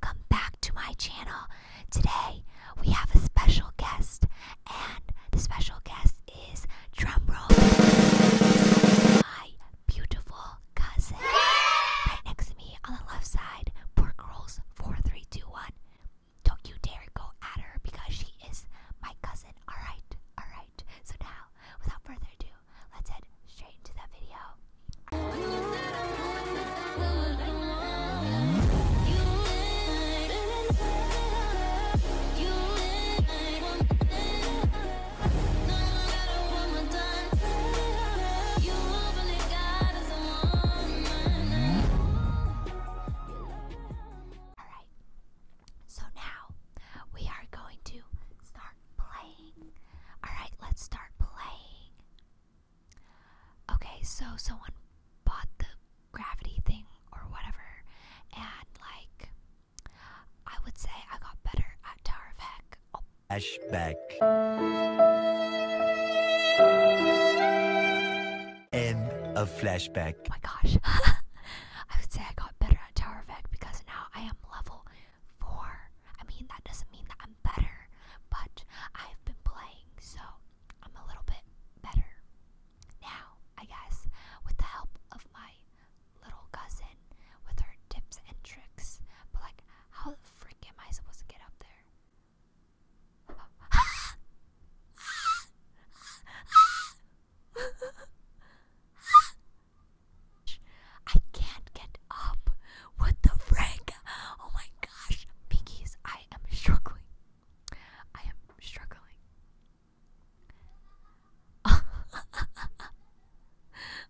Welcome back to my channel. Today we have a special guest, and the special guest is drumroll. My beautiful cousin, right next to me on the left side. Poor girls, four, three, two, one. Don't you dare go at her because she is my cousin. All right, all right. So now, without further ado, let's head straight into the video. So now we are going to start playing. Alright, let's start playing okay, so someone bought the gravity thing or whatever, and like, I would say I got better at Tower of Heck. Oh. Flashback. End of flashback. Oh my gosh. I would say I got better at Tower because now I am level 4. I mean, that doesn't mean that I'm better, but I've been playing, so I'm a little bit better. Now, I guess, with the help of my little cousin with her tips and tricks, but like, how the frick am I supposed to get up there? I can't get up. What the frick? Oh my gosh. Pinkies, I am struggling. I am struggling. oh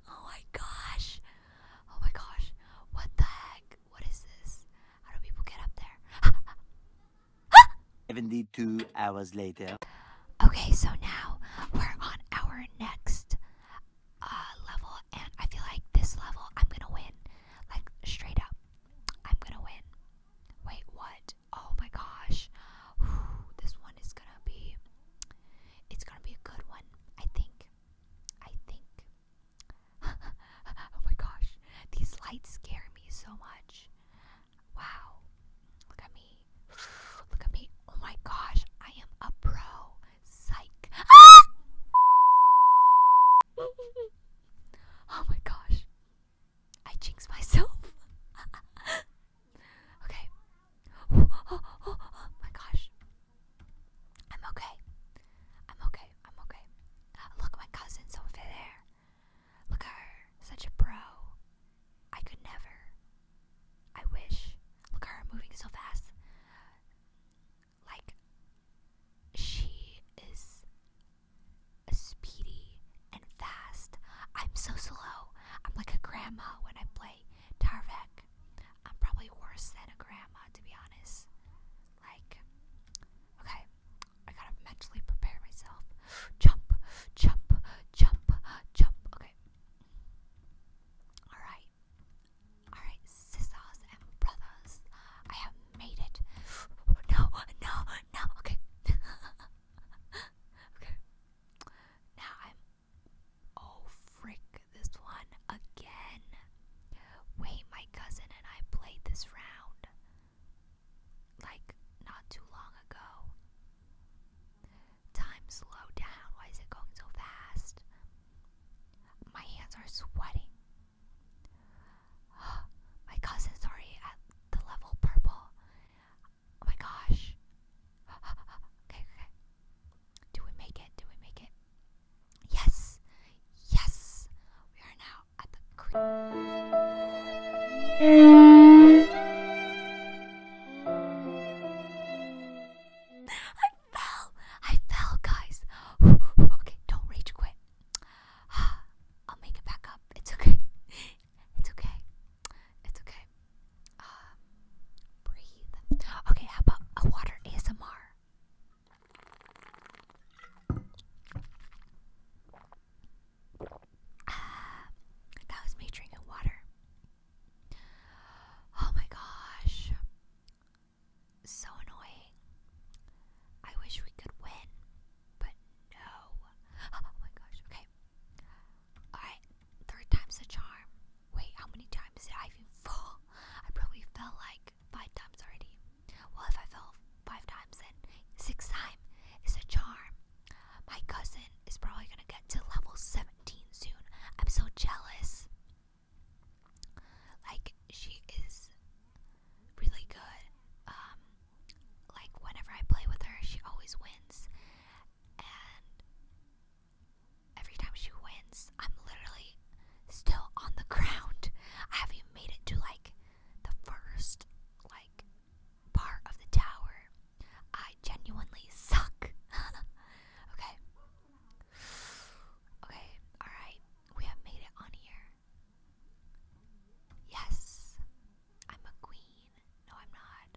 my gosh. Oh my gosh. What the heck? What is this? How do people get up there? 72 hours later. Okay, so now we're on our next uh, level and I feel like this level I'm gonna win. Like, straight up, I'm gonna win. Wait, what? Oh my gosh. this one is gonna be. It's gonna be a good one, I think. I think. oh my gosh. These lights scare me so much. Wow. Look at me. Look at me. Oh my gosh. I am a pro. Psych. Ah! oh my gosh. I jinxed myself. okay. Oh, oh, oh, oh, my gosh. I'm okay. I'm okay. I'm okay. Uh, look, my cousin's over there. Look at her. Such a pro. I could never. I wish. Look at her moving so fast. Like, she is speedy and fast. I'm so slow. I'm like a grandma when I play Tarvek. I'm probably worse than a grandma, to be honest. Like, okay, I gotta mentally prepare myself. Jump, jump, jump, jump. Okay. Alright. Alright. sisters and brothers. I have made it. No, no, no. Okay. okay. Now I'm. Oh, frick, this one again. Wait, my cousin and I played this round. Like, not too long ago. Time slow down. Why is it going so fast? My hands are sweating. My cousin's already at the level purple. Oh my gosh. Okay, okay. Do we make it? Do we make it? Yes! Yes! We are now at the cream. Mm fell. I fell, guys. okay, don't rage quit. I'll make it back up. It's okay. It's okay. It's okay. Um, breathe. Okay, how about a water ASMR? Ah, that was me drinking water. Oh my gosh. So annoying. I wish we could win, but no. Oh my gosh, okay. Alright, third time's a charm. Wait, how many times did I even fall? I probably fell like five times already. Well, if I fell five times, then sixth time is a charm. My cousin is probably gonna get to level 17 soon. I'm so jealous. Like she is really good. Um, like whenever I play with her, she always wins, and every time she wins, I'm literally still on the ground. haven't made it to like the first like part of the tower. I genuinely suck. okay, Okay, alright. We have made it on here. Yes! I'm a queen. No, I'm not.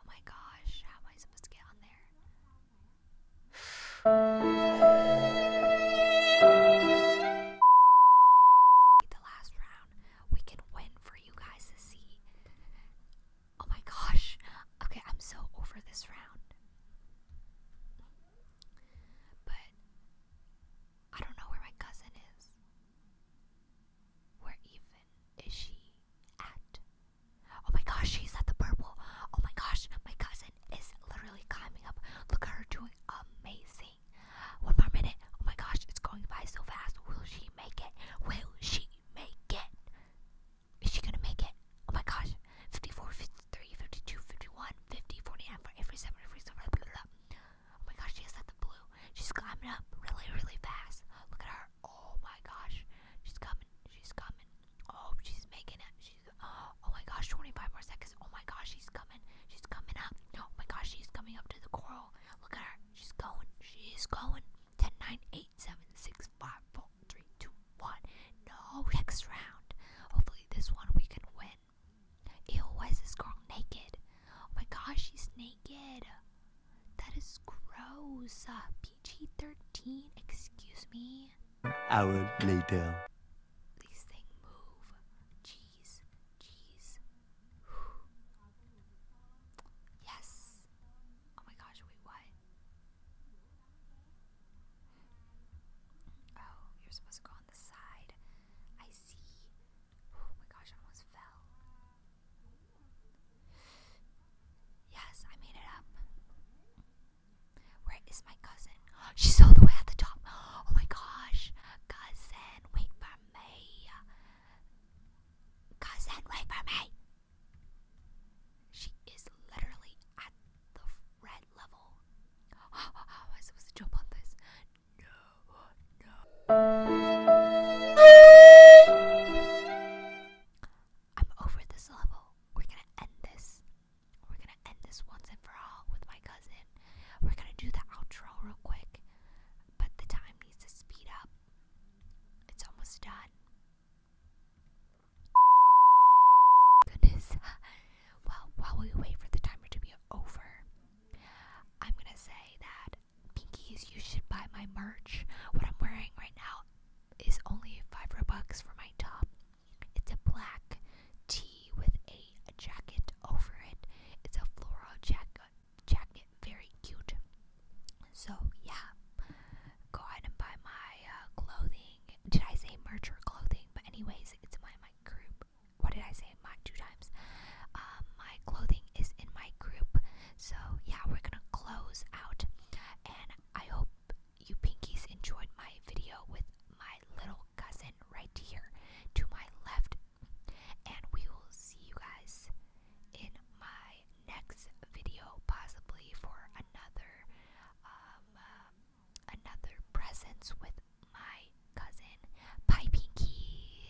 Oh my gosh, how am I supposed to get on there? the last round. We can win for you guys to see. Oh my gosh. Okay, I'm so over this round. But I don't know where my cousin is. Where even is she at? Oh my gosh, she's at the purple. Oh my gosh, my cousin is literally climbing up. Look at her doing amazing. One more minute. Oh my gosh, it's going by so fast. Will she make it? Will she make it? Is she gonna make it? Oh my gosh. 54, 53, 52, 51, 50, 49, for every 7, Oh my gosh, she has that the blue. She's climbing up really, really fast. Look at her. Oh my gosh. She's coming. She's coming. Oh, she's making it. She's, oh, oh my gosh, 25 more seconds. Oh my gosh, she's coming. She's coming up. Oh my gosh, she's coming up to the coral. Look at her. She's going. She's going. 10, 9, 8, 7, 6, 5, 4, three, two, one. No, next round. Hopefully, this one we can win. Ew, why is this girl naked? Oh my gosh, she's naked. That is gross. Uh, PG 13, excuse me. Hour later. Please thing move. Jeez, jeez. Yes, Oh my gosh, wait, what? Oh, you're supposed to go on the side. I see. Oh my gosh, almost fell. Yes, I made it up. Where is my cousin? She's all the way at the top. Oh my gosh. Cousin, wait for me. Cousin, wait for me. She is literally at the red level. Oh, how am I supposed to jump on this? No, no. I'm over this level. We're gonna end this. We're gonna end this once and for all with my cousin. We're gonna do the outro real quick, but the time needs to speed up. It's almost done. Goodness. Well, while we wait for the timer to be over, I'm gonna say that Pinkies, you should buy my merch. What I'm wearing right now is only five bucks for my top. It's a black tee with a jacket over it. It's a floral jacket, jacket, very cute. So yeah, go ahead and buy my uh, clothing. Did I say merch or clothing? But anyways, it's my my group. What did I say? My two times. Um, my clothing is in my group. So yeah, we're gonna close out, and I hope you pinkies enjoyed my video with my little cousin right here to my left, and we will see you guys in my next video possibly for another um, um another presence with my cousin Pie Pinky.